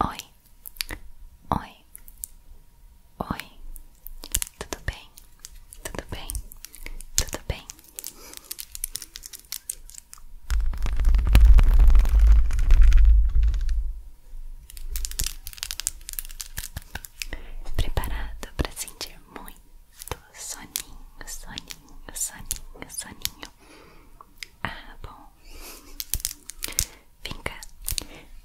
Oi, oi, oi, tudo bem, tudo bem, tudo bem. Preparado para sentir muito soninho, soninho, soninho, soninho. Ah, bom. Vem cá.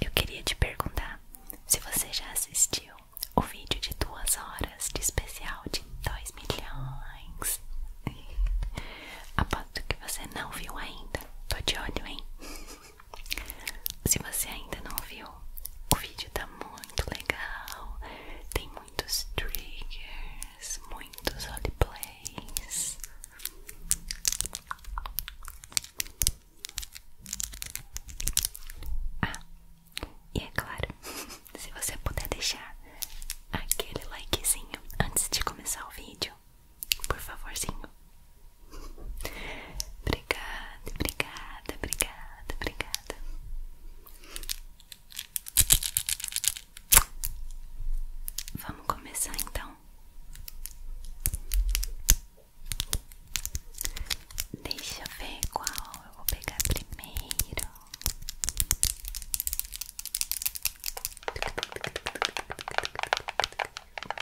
Eu queria te perguntar se você já assistiu o vídeo de duas horas de especial de 2 milhões. Aposto que você não viu ainda. Tô de olho, hein? Se você ainda não viu, o vídeo tá muito legal. Tem muitos triggers, muitos roleplays. Ah, e é claro, se você puder deixar aquele likezinho antes de começar o vídeo por favorzinho. obrigada, obrigada, obrigada, obrigada. Vamos começar então. Deixa eu ver qual eu vou pegar primeiro.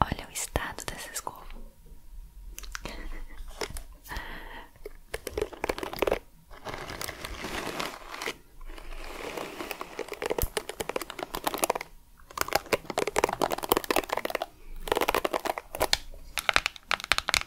Olha o estado dessa escova.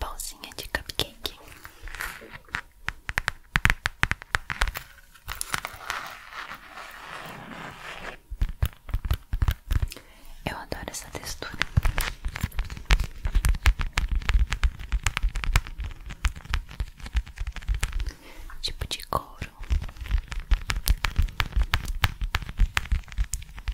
Bolzinha de cupcake. Eu adoro essa textura. Tipo de couro.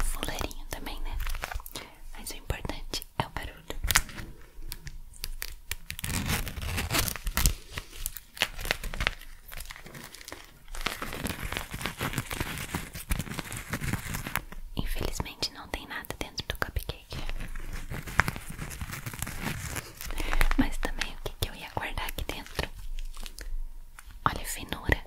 Fuleirinho também, né? Mas o importante é o barulho. Infelizmente não tem nada dentro do cupcake. Mas também o que, eu ia guardar aqui dentro? Olha a finura.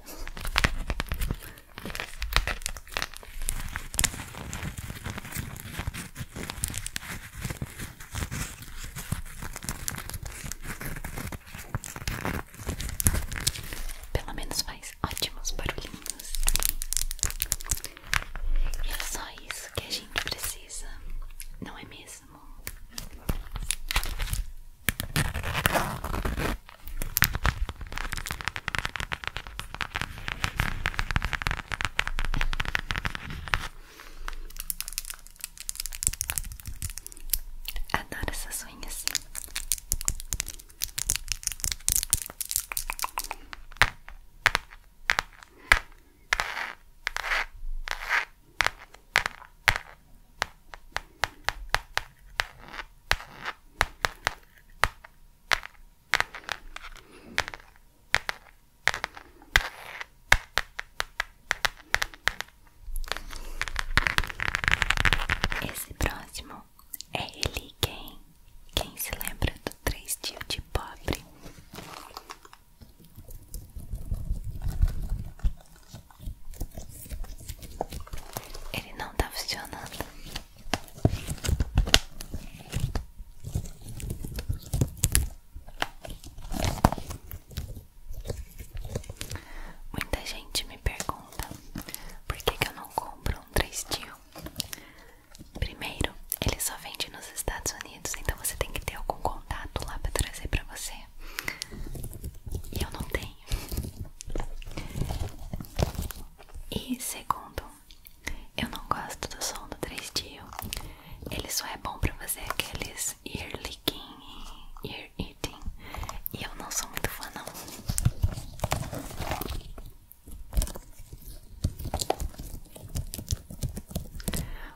Pelo menos faz ótimos barulhinhos. E é só isso que a gente precisa, não é mesmo? mesmo. Adoro essas unhas. Esse próximo é ele quem? Quem se lembra do três tio de pobre? Ele não tá funcionando. Muita gente me pergunta por que, eu não compro um 3 Steel. Primeiro, ele só vende nos Estados Unidos, então você tem que ter algum contato lá para trazer para você. E eu não tenho. E segundo, eu não gosto do som do 3D. Ele só é bom pra fazer aqueles ear licking e ear eating. E eu não sou muito fã não.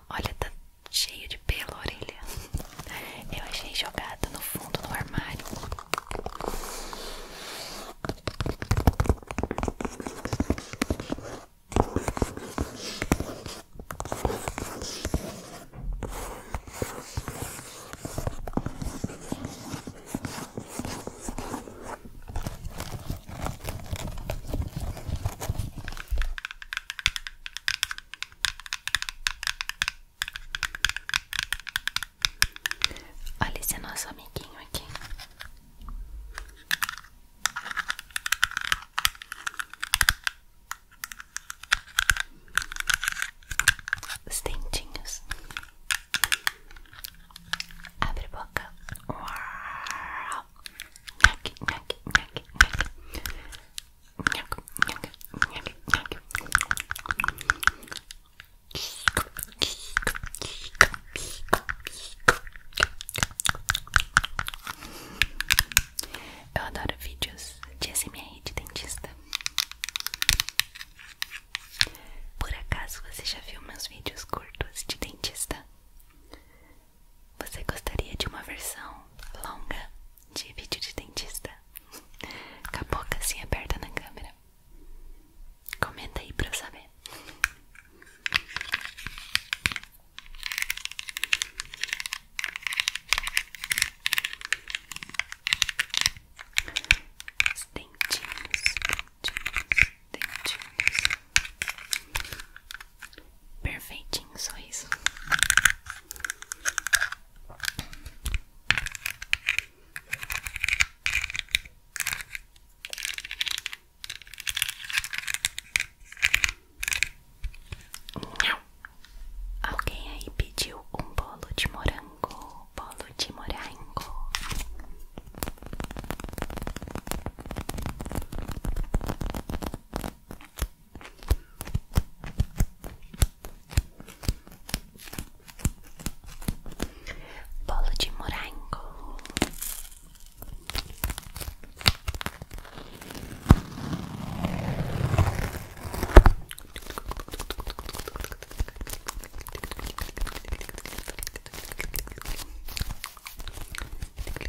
Olha, tá cheio de pelo orelha. Eu achei jogada no fundo no armário. Olha esse nosso amiguinho aqui. Os dentinhos. Abre boca. Uau. Nhaque, nhaque, nhaque, nhaque. Eu adoro vídeos de SMR de dentista. Por acaso você já viu meus vídeos curtos de dentista? Você gostaria de uma versão longa de vídeo de dentista? Com a boca assim aberta na câmera. Comenta aí pra eu saber. Os dentinhos, dentinhos, dentinhos. Perfeitinho, só isso. Não. Alguém aí pediu um bolo de morango, bolo de morango. Bolo de morango.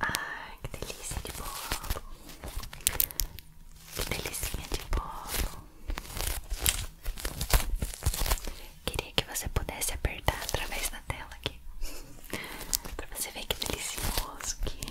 Ai, que delícia de bolo! Que delícia de bolo! Queria que você pudesse apertar através da tela aqui pra você ver que delicioso que é.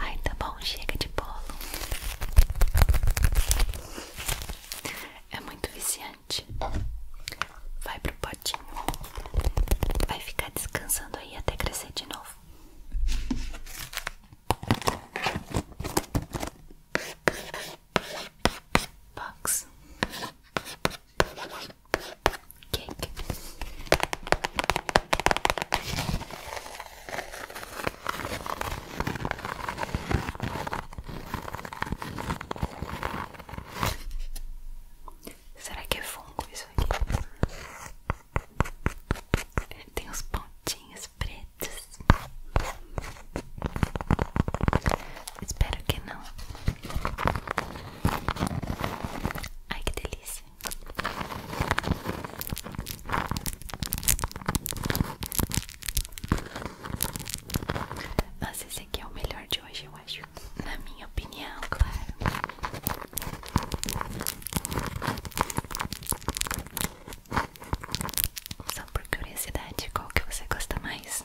Ai, tá bom, chega de bolo. É muito viciante. Vai pro potinho. Vai ficar descansando aí até crescer de novo. Box. Cake. Será que é fungo isso aqui? Tem uns pontinhos pretos. Espero que não. Ai que delícia. Nossa, esse aqui é o melhor de hoje, eu acho. Na minha opinião, claro. Só por curiosidade, qual que você gosta mais?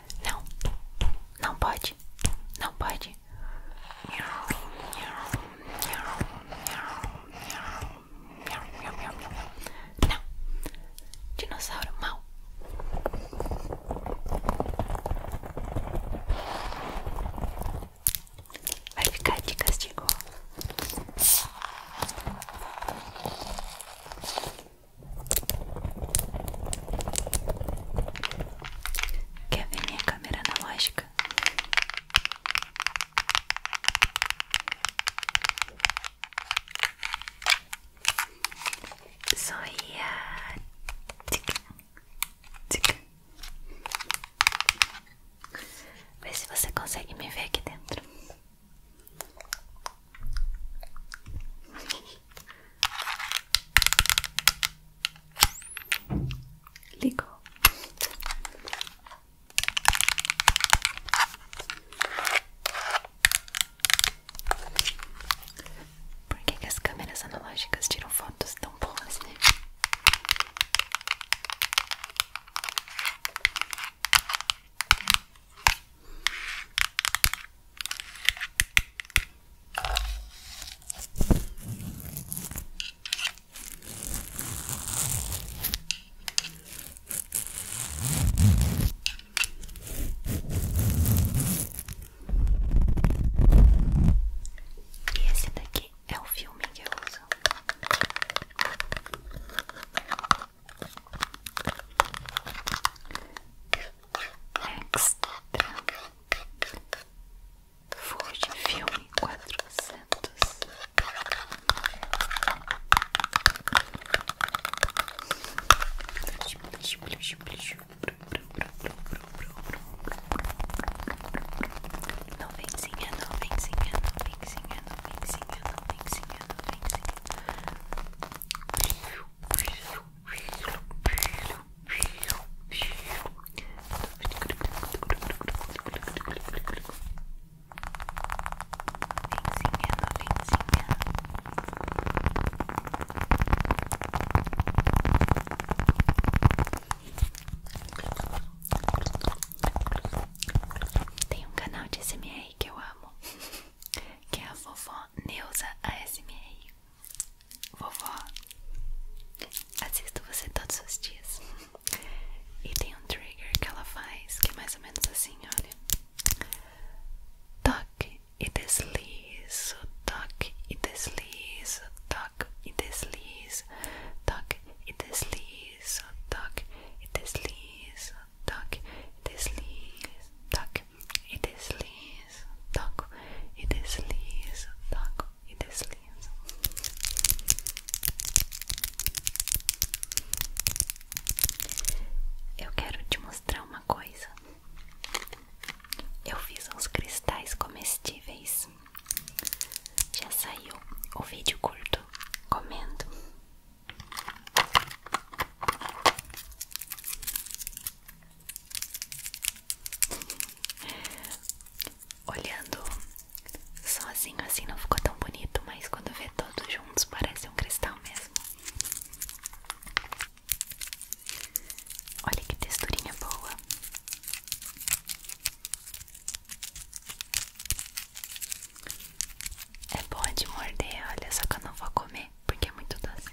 Não, não pode, não pode. Não, dinossauro mal. Vai ficar de castigo. Quer ver minha câmera analógica? Só ia Tica. tic. Vê se você consegue me ver aqui dentro. Ligou. Por que, que as câmeras analógicas tiram fotos tão boas, né? E esse daqui é o filme que eu uso. Extra Ford Filme 400 não venzinha, não venzinha, não venzinha, não venzinha, não venzinha, não venzinha. Tem um canal de SMR que eu amo, que é a vovó Neuza ASMR. Vovó, assisto você todos os dias. E tem um trigger que ela faz que é mais ou menos assim: olha, toque e deslizo, toque e deslizo, toque e deslizo, toque e deslizo, toque e deslizo, toque e deslizo, toque e deslizo, toco e deslizo, toco e deslizo. Eu quero te mostrar uma coisa. Eu fiz uns cristais comestíveis. Já saiu o vídeo curto comendo. Olhando sozinho assim não ficou tão bonito, mas quando vê todos juntos parece um cristal mesmo. Olha que texturinha boa. É bom de morder, olha, só que eu não vou comer porque é muito doce.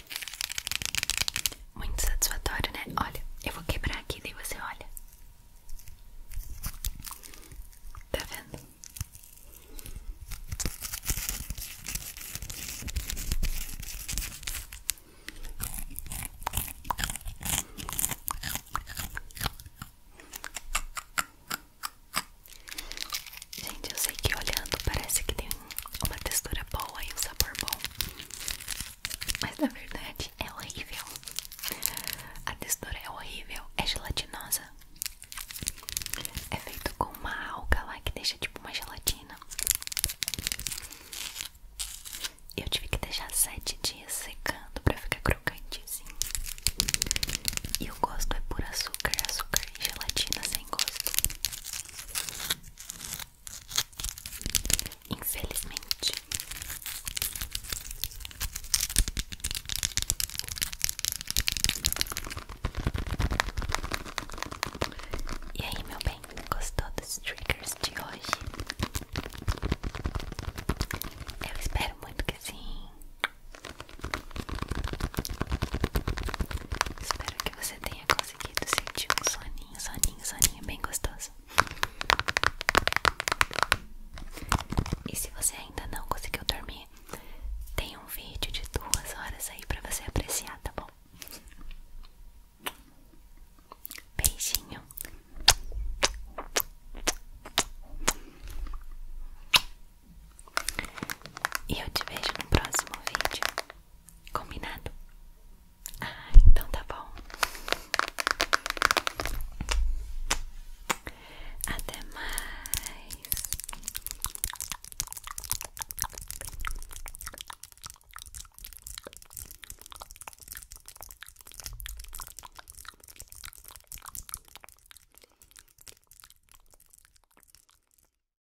Muito satisfatório, né? Olha, eu vou quebrar aqui, daí você olha. Tá vendo? Gente, eu sei que olhando parece que tem uma textura boa e um sabor bom, mas na verdade é horrível. A textura é horrível, é gelatinosa. É feito com uma alga lá que deixa tipo uma gelatina. Eu tive que deixar sete dias secando pra ficar crocante E o gosto é por açúcar, açúcar e gelatina sem gosto. Infelizmente. E aí, meu bem, gostou dos triggers de hoje? Eu espero muito que sim. Espero que você tenha gostado conseguido sentir um soninho, soninho, soninho bem gostoso. E se você ainda não conseguiu dormir, tem um vídeo de duas horas aí pra você apreciar, tá bom? Beijinho. E eu te vejo no próximo vídeo. Combinado? Ah, então tá bom. Até mais.